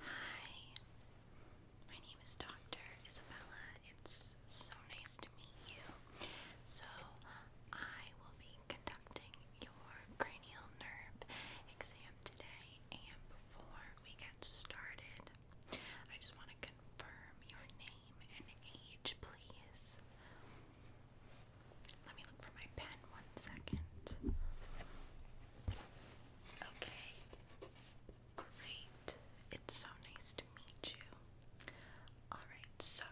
Hi, my name is Dr. Isabella. It's so nice to meet you. So, I will be conducting your cranial nerve exam today, and before we get started, I just want to confirm your name name and age, please? Let me look for my pen one second. Okay, great. It's so nice to meet you. Alright, so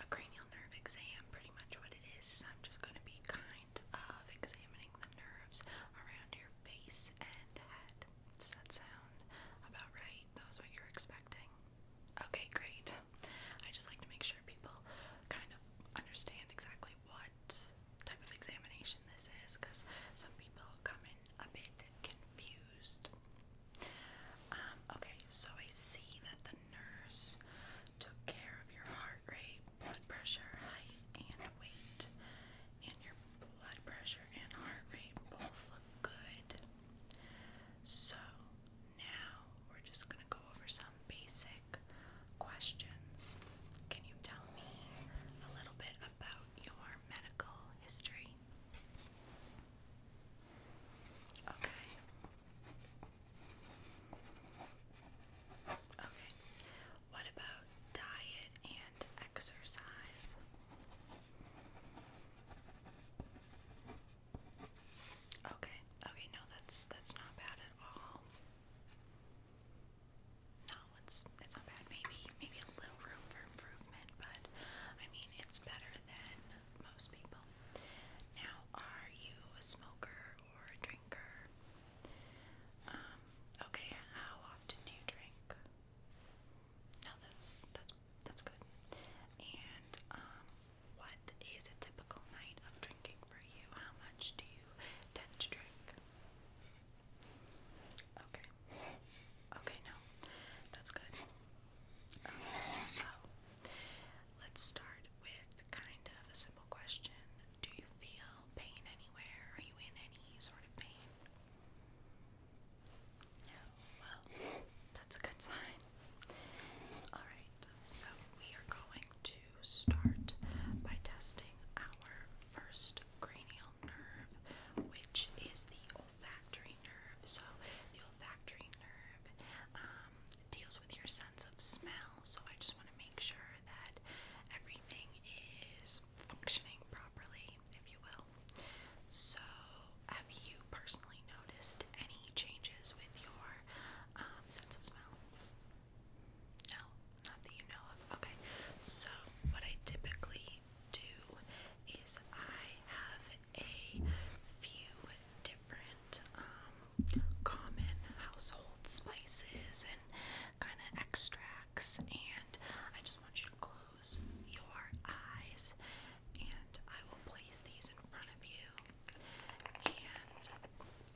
a cranial nerve exam, pretty much what it is I'm just going to be kind of examining the nerves around your face and head. Does that sound about right? That what you're expecting? Okay, great. I just like to make sure people kind of understand exactly what type of examination this is because some people come in a bit confused. Um, okay, so I see that the nurse took care of your heart rate, blood pressure, height, and weight. And your blood pressure and heart rate both look good. So now we're just going to go over some basic questions. Can you tell me a little bit about your medical history? Okay. Okay. What about diet and exercise? Okay, okay, no, that's that's not bad at all. No, it's it's not bad. Maybe maybe a little room for improvement, but I mean it's better than most people. Now, are you a smoker or a drinker? Um, okay, how often do you drink? No, that's that's that's good. And um, what is a typical night of drinking for you? How much do you tend to drink? Okay. Okay, no. That's good. so let's start with kind of a simple question. Do you feel pain anywhere? Are you in any sort of pain? Well, that's a good sign. Alright, so we are going to start by testing our first cranial nerve, which is the olfactory nerve. So, the olfactory nerve um, deals with your sense of smell, so I just want to make sure that everything is functioning properly, if you will. So, have you personally noticed any changes with your um, sense of smell? No, not that you know of. Okay, so what I typically do is I have a few different um, common household spices and kind of extracts, and I just want you to close your eyes and I will place these in front of you and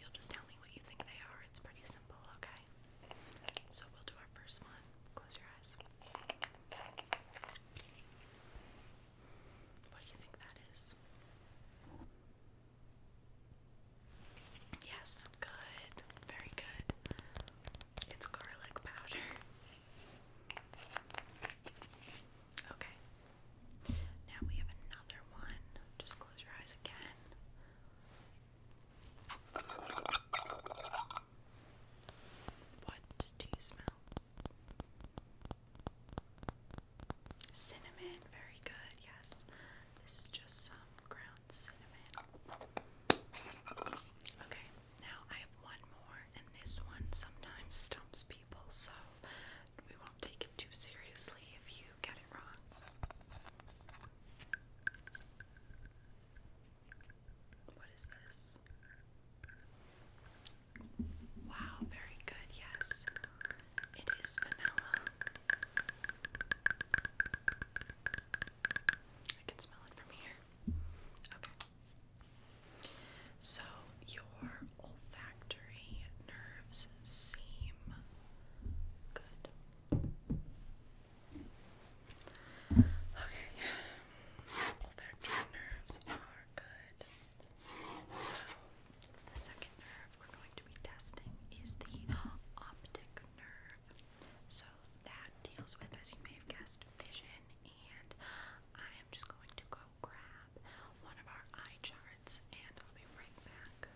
you'll just tell me what you think they are. It's pretty simple, okay? So we'll do our first one. Close your eyes. What do you think that is? Yes, good. Very good. It's garlic powder. Okay. Now we have another one. Just close your eyes again. What do you smell? Cinnamon, very good, yes. This is just some ground cinnamon. Okay, now I have one more and this one sometimes stumps people, so we won't take it too seriously if you get it wrong. What is this? Wow, very good, yes. It is vanilla. I can smell it from here. So your olfactory nerves seem good. Okay, olfactory nerves are good. So the second nerve we're going to be testing is the optic nerve. So that deals with, as you may have guessed, vision. And I am just going to go grab one of our eye charts and I'll be right back.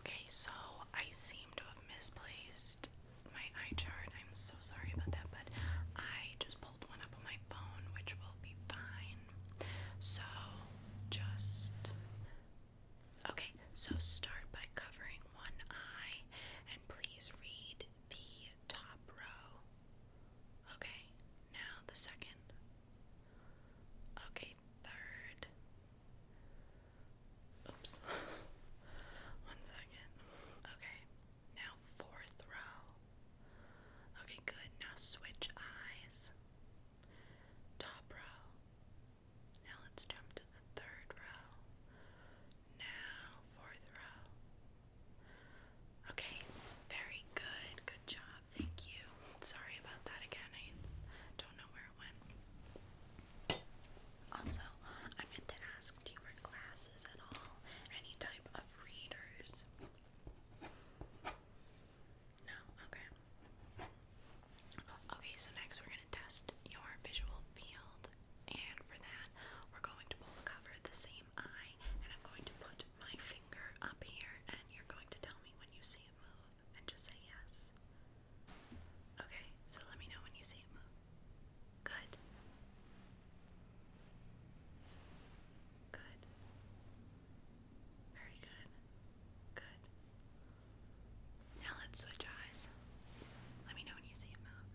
Okay, so I seem to have misplaced my eye chart. I'm so sorry about that, but I just pulled one up on my phone, which will be fine. So just. Okay, so start by covering one eye and please read the top row. Okay, now the second. Okay, third. Oops. One second. Okay, now fourth row. Okay, good. Now switch eyes. Top row. Now let's jump to the third row. Now fourth row. Okay, very good. Good job. Thank you. Sorry about that again. I don't know where it went. Also, I meant to ask do you wear glasses at all? Any type of readers? No? Okay. Okay, so next we're going to test your visual field. And for that, we're going to pull the cover the same eye, and I'm going to put my finger up here and you're going to tell me when you see it move and just say yes. Okay, so let me know when you see it move. Good. Good. Very good. Good. Now let's switch eyes. Let me know when you see it move.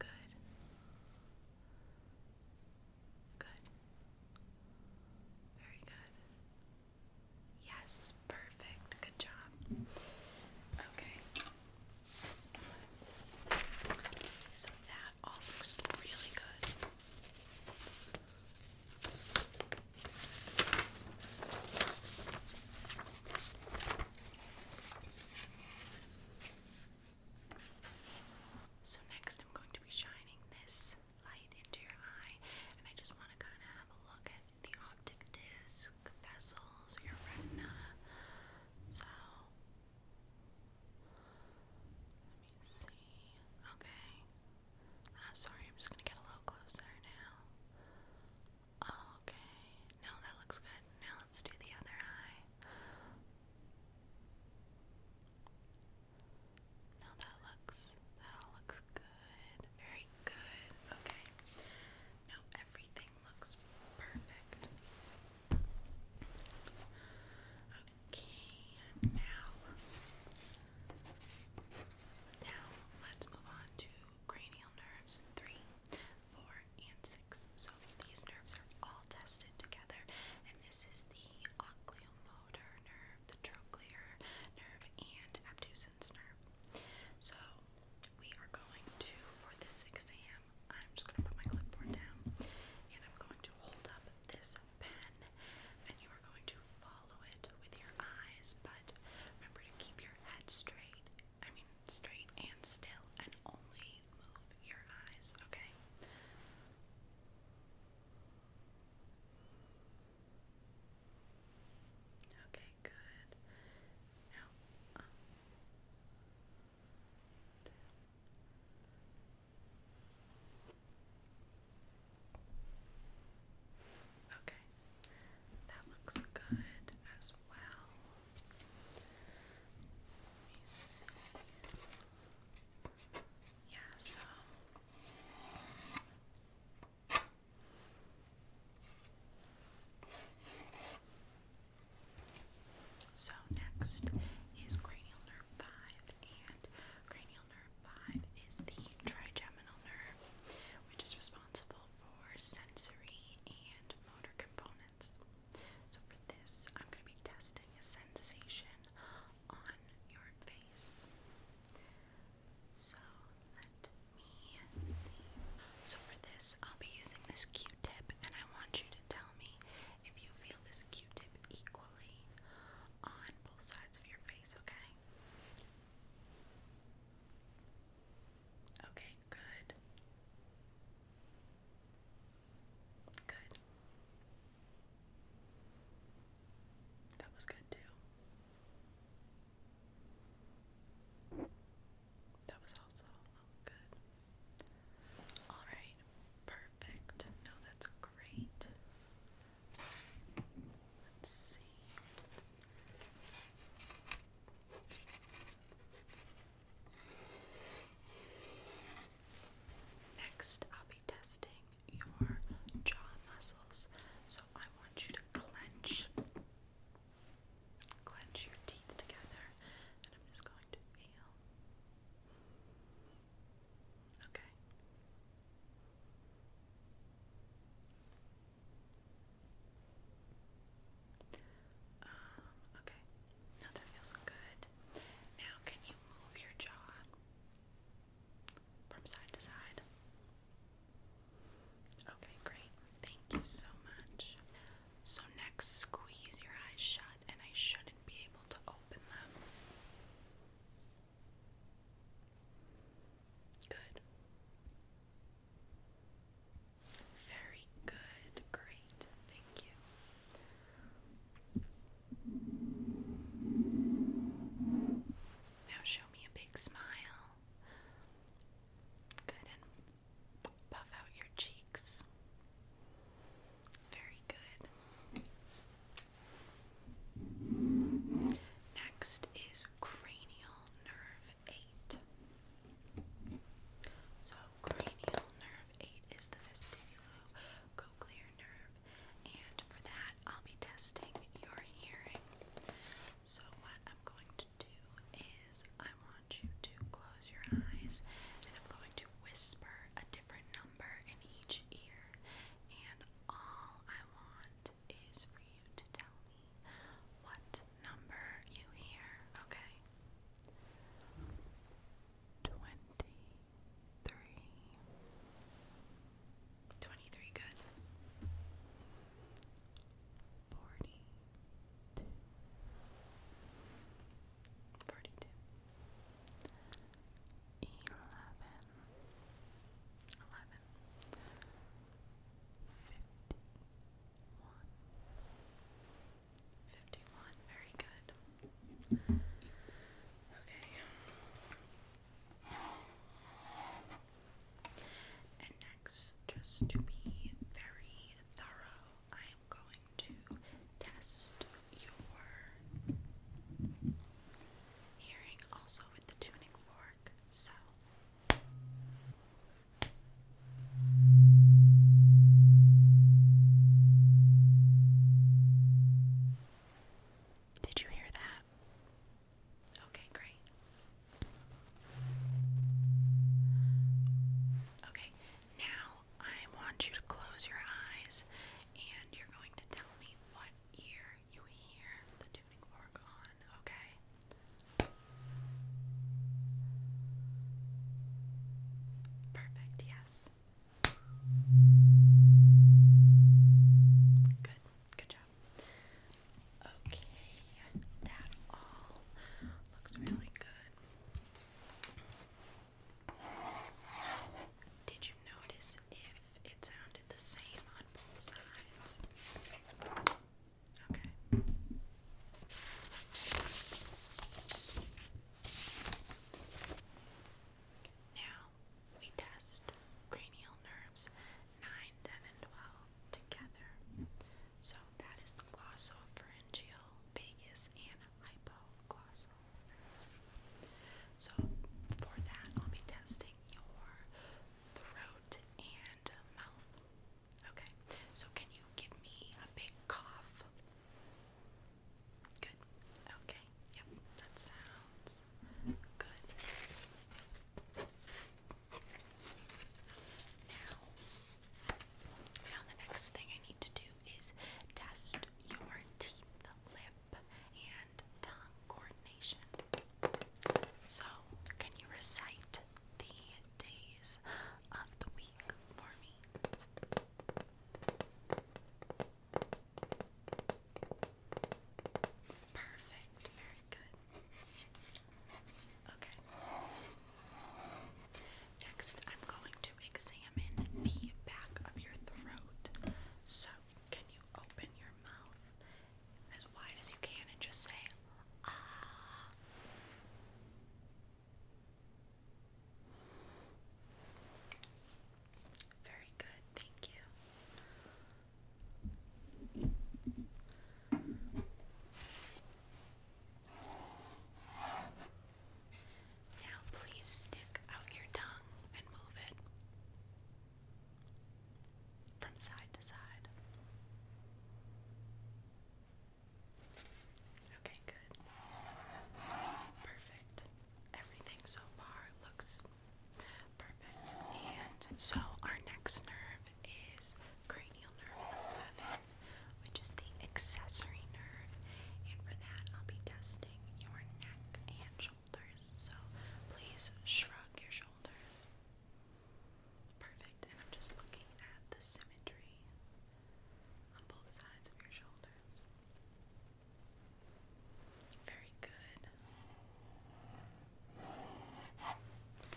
Good. Good. Very good. Yes, perfect. Good job. Okay. So that all looks really good. So, next, I'm going to be shining this light into your eye, and I just want to kind of have a look at the optic disc, vessels, your retina. So, let me see. Okay. Ah, sorry, I'm just going to get a little closer now. Oh, okay. No, that looks good. Now let's do the other eye. Now that looks, that looks good. Very good. Okay. Now everything looks perfect. Okay, now, now let's move on to cranial nerves three, four, and so these nerves are all tested together, and this is the oculomotor nerve, the trochlear nerve, and abducens nerve. So we are going to, for this exam, I'm just going to put my clipboard down, and I'm going to hold up this pen, and you are going to follow it with your eyes, but remember to keep your head straight. I mean, straight and still, and only move your eyes, okay? Okay, good. Okay, that looks good as well. Let me see. Yeah, so so next is cranial nerve 5 and cranial nerve 5 is the trigeminal nerve which is responsible for sensory and motor components so for this, I'm going to be testing a sensation on your face. So let me see. So for this, I'll be using this Q-tip, and I want you to tell me if you feel this Q-tip equally on both sides of your face, okay? Okay, good. Good. That was good too. That was also oh, good. Alright, perfect. No, that's great. Let's see. Next, I'll be testing your jaw muscles. So I want you to clench, clench your teeth together, and I'm just going to feel. Okay. Um, okay. Now that feels good. Now, can you move your jaw from side to side? Okay, great. Thank you so much. So, next, squeeze your eyes shut, and I shouldn't be able to open them. Good. Very good. Great. Thank you. Now show me a big smile. Good, puff out your cheeks. Very good. Next is cranial nerve 8. So, cranial nerve Eight is the vestibulocochlear nerve. And for that, I'll be testing your hearing. So, what I'm going to do is I want you to close your eyes and I'm going to whisper a different number in each ear. And all I want is for you to tell me what number you hear, okay? Twenty-three. Twenty-three, good. Forty-two. Forty-two. Eleven. Eleven. Fifty-one. 51 Fifty-one, very good. Okay. And next, just to be very thorough, I am going to test your hearing also with the tuning fork. So. Did you hear that? Okay, great. Okay, now I want you to close your eyes and you're going to tell me what ear you hear the tuning fork on, okay? Perfect, yes. Good, good job. Okay, that all looks really good. Did you notice if it sounded the same on both sides? Okay. Now we test cranial nerves 9, and 12 together. So that is the glossopharyngeal, vagus, and hypoglossal nerves. So for that, I'll be testing your throat and mouth. Okay, so can you give me a big cough? Good. Okay. Yep. That sounds good. Now, now the next thing I need to do is test your teeth, lip, and tongue coordination. So, can you recite the days of the week for me? Perfect, very good. Okay. Next, I'm going to examine the back of your throat. So, can you open your mouth as wide as you can and just say, ah? Very good, thank you. Now, please stick out your tongue and move it from side to side. Okay, good. Perfect. Everything so far looks perfect. And so our next nerve is cranial nerve 11, which is the accessory nerve. And for that, I'll be testing your neck and shoulders. So please shrug your shoulders. Perfect. And I'm just looking at the symmetry on both sides of your shoulders. Very good.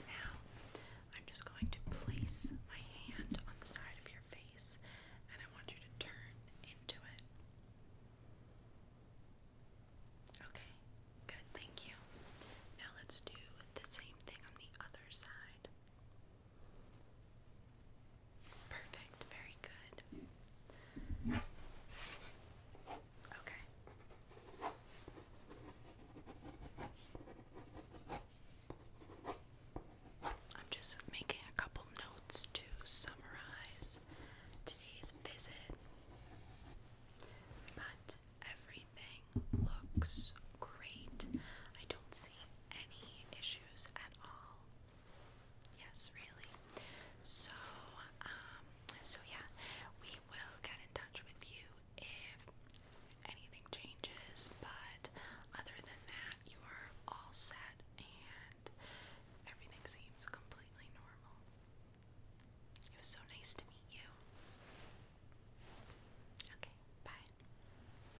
Now, I'm just going to place my hand on the side of your face and I want you to turn into it. Okay, good, thank you. Now let's do the same thing on the other side. Perfect, very good. Okay. I'm just making a couple notes to summarize today's visit. But everything looks great. I don't see any issues at all. Yes, really. So, um, so yeah, we will get in touch with you if anything changes, but other than that, you are all set and everything seems completely normal. It was so nice to meet you. Okay, bye.